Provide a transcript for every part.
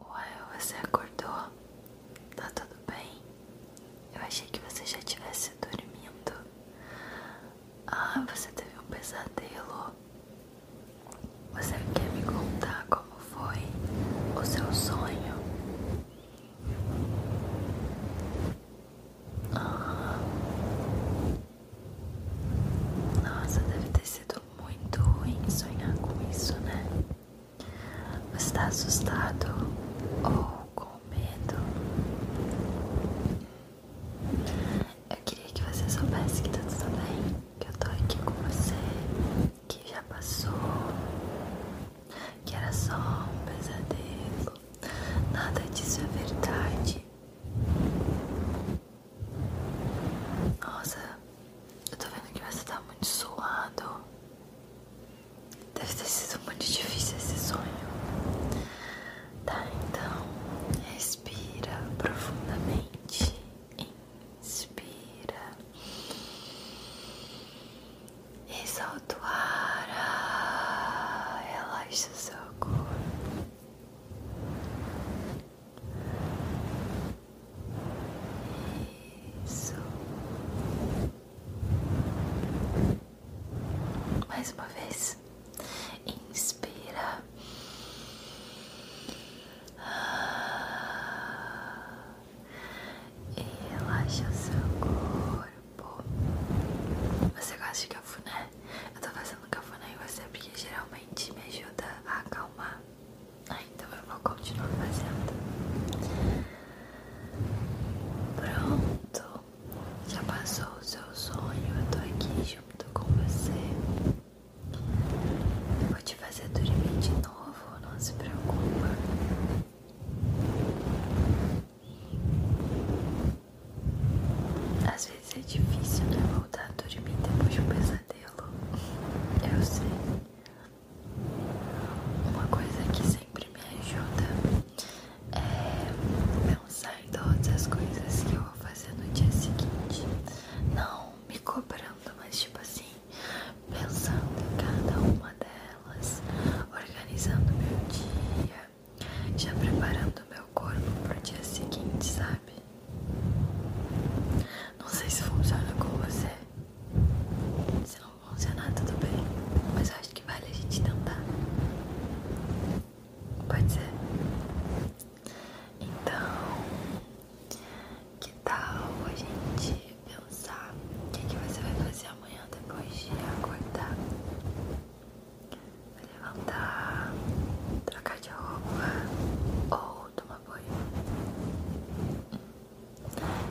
Uai, você acordou? Tá tudo bem? Eu achei que você já tivesse dormindo. Ah, você teve um pesadelo. Você quer me contar como foi o seu sonho? Ah. Nossa, deve ter sido muito ruim sonhar com isso, né? Você está assustado ou com medo? Eu queria que você soubesse que tá tudo bem, que eu tô aqui com você, que já passou, que era só um pesadelo, nada disso é verdade. Nossa, eu tô vendo que você tá muito suado. Deve ter sido muito difícil esse sonho. Tá, então, respira profundamente. Inspira. E solta o ar. Ah, relaxa o seu corpo. Isso. Mais uma vez. Inspira. E relaxa o seu corpo. Você gosta de cafuné? Eu tô fazendo cafuné em você porque geralmente me ajuda a acalmar ah, então eu vou continuar fazendo. Pronto. Já passou o seu sonho. Eu tô aqui junto com você. Eu vou te fazer dormir de novo. Não se preocupa. Às vezes é difícil né, voltar a dormir depois de um pesadelo. Eu sei. Uma coisa que sempre me ajuda é pensar em todas as coisas que eu vou fazer no dia seguinte. Não me cobrando, mas tipo assim, pensando em cada uma delas, organizando meu dia, já preparando meu corpo para o dia seguinte, sabe? Não sei se funciona com você. Se não funcionar, tudo bem. Mas acho que vale a gente tentar. Pode ser? Então, que tal a gente pensar o que você vai fazer amanhã depois de acordar? vai levantar, trocar de roupa ou tomar banho,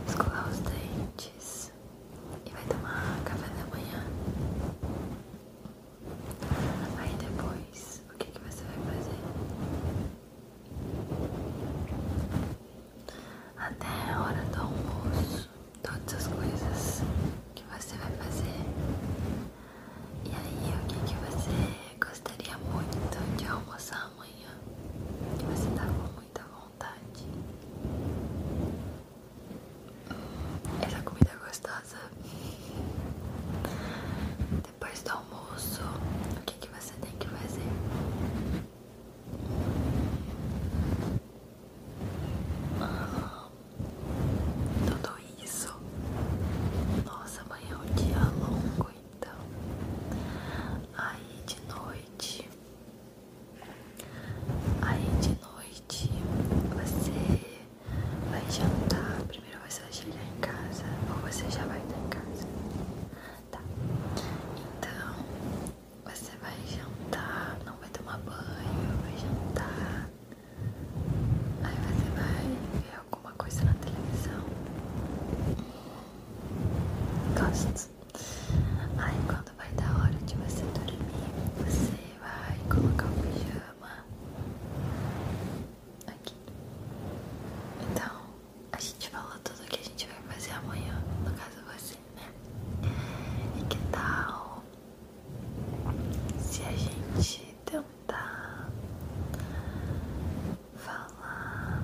escovar os dentes e vai tomar café da manhã. Aí depois, o que, que você vai fazer? Até a hora do almoço, todas as coisas que você vai fazer e aí, o que, que você gostaria muito de almoçar amanhã? Que você tá com muita vontade. Essa comida gostosa. Depois do almoço, o que, que você tem que fazer? Ah tudo isso. Nossa, amanhã é um dia longo, então. Aí de noite. Aí de noite você vai jantar. Primeiro você vai chegar em casa. Ou você já vai estar em casa. Tá. Então você vai jantar. Não vai tomar banho. Vai jantar. Aí você vai ver alguma coisa na televisão. Gosto. Aí quando vai dar hora de você dormir, você vai colocar o pijama aqui. Então, a gente falou tudo o que a gente vai fazer amanhã, no caso você, né? E que tal se a gente tentar falar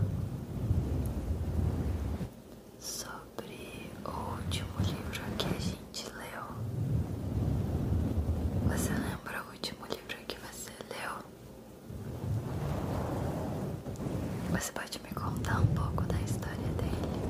sobre o último livro que a gente leu. Você lembra o último livro que você leu? Você pode me contar um pouco da história dele?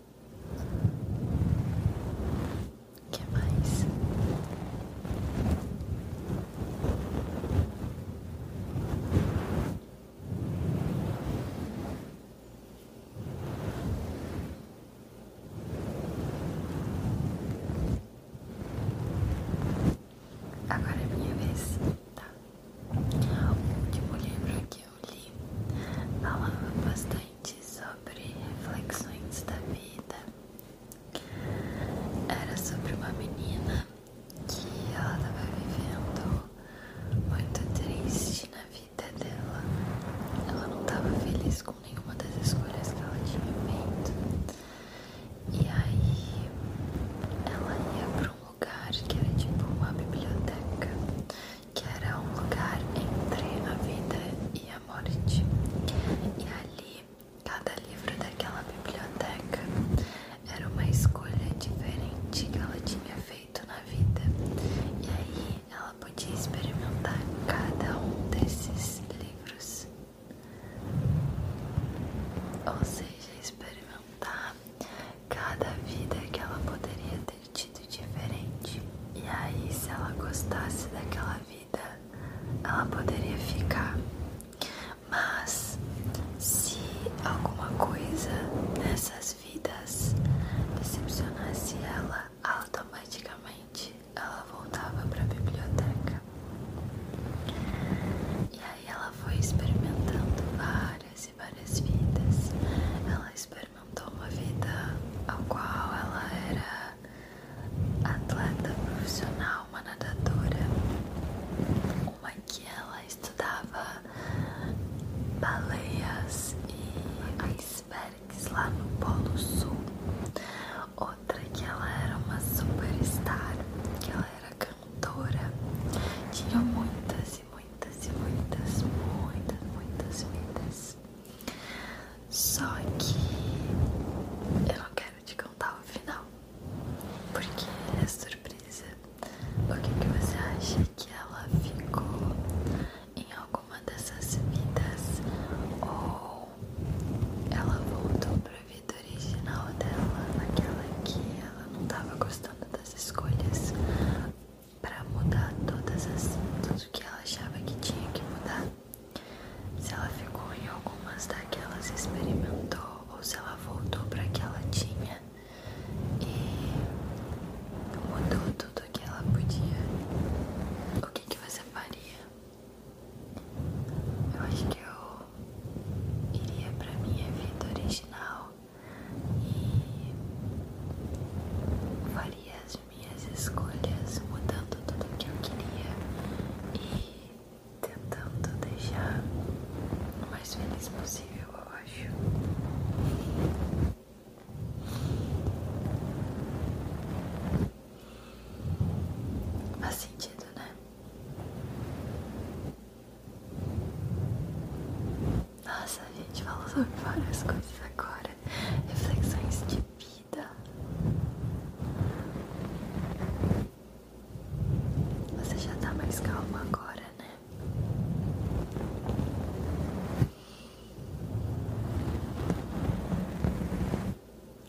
O que mais? Agora é minha vez, tá? O último livro aqui, eu li, falava bastante sobre reflexões da vida. Era sobre uma menina que ela estava vivendo muito triste na vida dela. Ela não estava feliz com nenhuma das escolhas que ela tinha feito. E aí ela ia para um lugar que era tipo uma biblioteca que era um lugar entre a vida e a morte. E ali, cada livro daquela biblioteca era uma escolha diferente que ela tinha feito na vida. E aí ela podia experimentar cada um desses livros. Ou seja, experimentar cada vida que ela poderia ter divertido diferente. E aí, se ela gostasse daquela vida, ela poderia ficar. Mas se alguma coisa nessas vidas decepcionasse ela, automaticamente ela voltava para a biblioteca. E aí ela foi experimentando várias e várias vidas experimentou uma vida a qual ela era atleta profissional, uma nadadora, uma que ela estudava baleias e icebergs lá no Polo Sul, outra que ela era uma superstar, que ela era cantora, tinha muitas muitas e muitas muitas, muitas, vidas. Só que eu não quero te contar o final, porque é surpresa. O que, que você acha que ela ficou em alguma dessas vidas? Ou ela voltou para pra vida original dela, naquela que ela não estava gostando das escolhas? para mudar todas as tudo que ela achava que tinha que mudar. Se ela ficou em algumas daquelas experimentou ou se ela voltou para que ela tinha e mudou tudo que ela podia. O que que você faria? Eu acho que eu iria para minha vida original e faria as minhas escolhas mudando tudo o que eu queria e tentando deixar o mais feliz possível, eu acho. Faz sentido, né? Nossa, gente falou sobre várias coisas agora. Reflexões de vida. Você já tá mais calmo agora, né?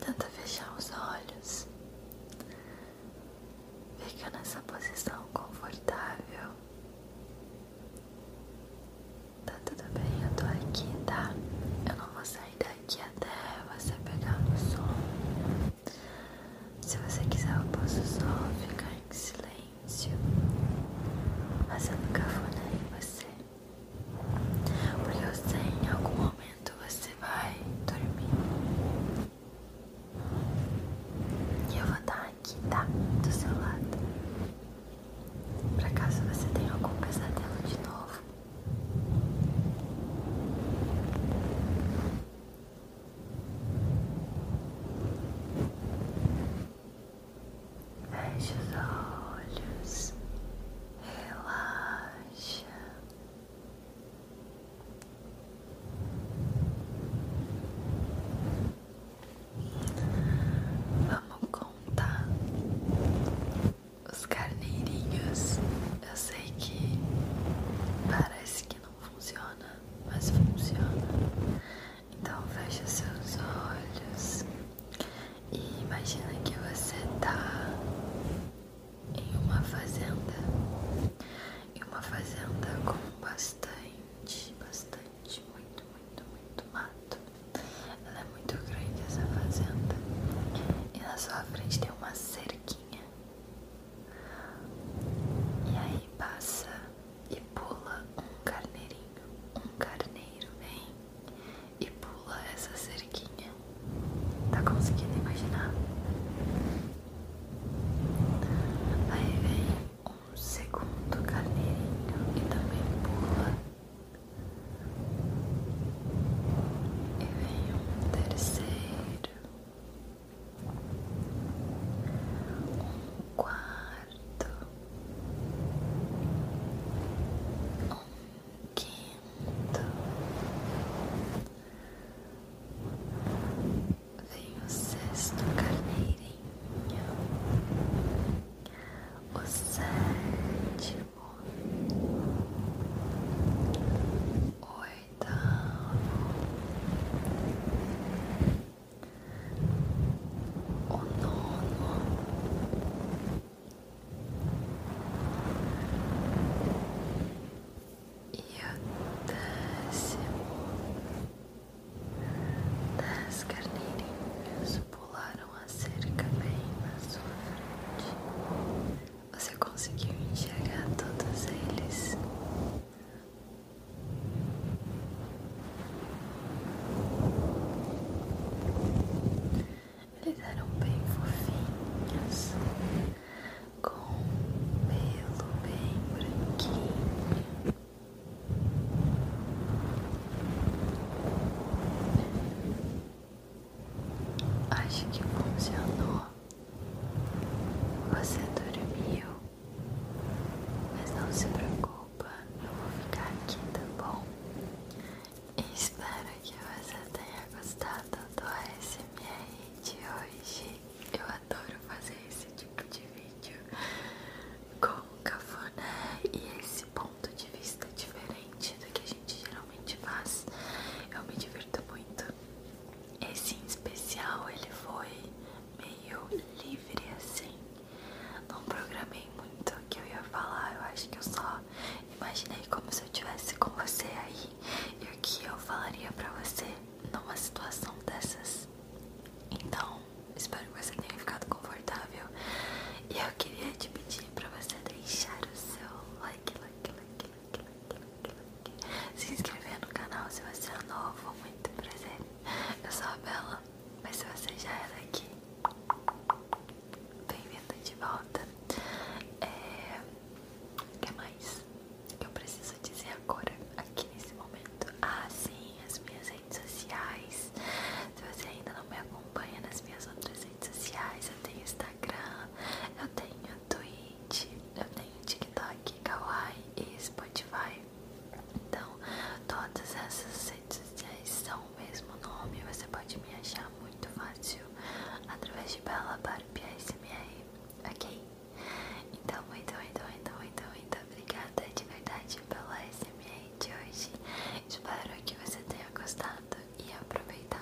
Tenta fechar os olhos Fica nessa posição confortável. Tá tudo bem, eu tô aqui, tá? Eu não vou sair daqui até você pegar no sono. Se você quiser, eu posso só ficar em silêncio, mas eu nunca falei em você. Porque eu sei em algum momento você vai dormir. E eu vou estar aqui, tá? Do seu lado. Pra caso você tenha algum pesadelo de novo. Feche os olhos, relaxa, Vamos contar os carneirinhos. Eu sei que parece que não funciona, mas funciona. Então feche seus olhos e imagine que você está em uma fazenda, em uma fazenda com bastante, bastante, muito, muito, muito mato. Ela é muito grande essa fazenda e na sua frente tem uma cerquinha. E aí passa e pula um carneirinho, um carneiro vem e pula essa cerquinha Tá conseguindo imaginar? Aí vem um segundo carneirinho e também pula. E vem um terceiro, um quarto, um quinto. Vem o sexto carneirinho, o sétimo, o oitavo, o nono. E o décimo dez carneirinhos pularam a cerca bem na sua frente. Você conseguiu enxergar todos eles? Eles eram bem fofinhos, com pelo bem branquinho. Acho que funcionou. Você dormiu, mas não se preocupa, eu vou ficar aqui, tá bom? Espero que você tenha gostado do ASMR de hoje. Eu adoro fazer esse tipo de vídeo com cafuné e esse ponto de vista diferente do que a gente geralmente faz. Eu me divirto muito. Esse especial ele foi meio livre assim. Não programei o que eu ia falar. Eu acho que eu só imaginei como se eu estivesse com você aí e o que eu falaria pra você numa situação dessas. Então, espero que você tenha ficado confortável. E eu queria te pedir pra você deixar o seu like, like, like, like, like, like, like. se inscrever no canal se você é novo. Muito prazer. Eu sou a Bela, mas se você já é daqui. Bem-vinda de volta. O é, que mais que eu preciso dizer agora, aqui nesse momento? Ah, sim, as minhas redes sociais. Se você ainda não me acompanha nas minhas outras redes sociais, eu tenho Instagram, eu tenho Twitch, eu tenho TikTok, Kawaii e Spotify. Então, todas essas redes sociais são o mesmo nome, você pode me achar muito fácil através de Bella Barbie ASMR, ok? Então, muito, então, muito, então, muito, então, muito, muito obrigada de verdade pela ASMR de hoje. Espero que você tenha gostado e aproveitado.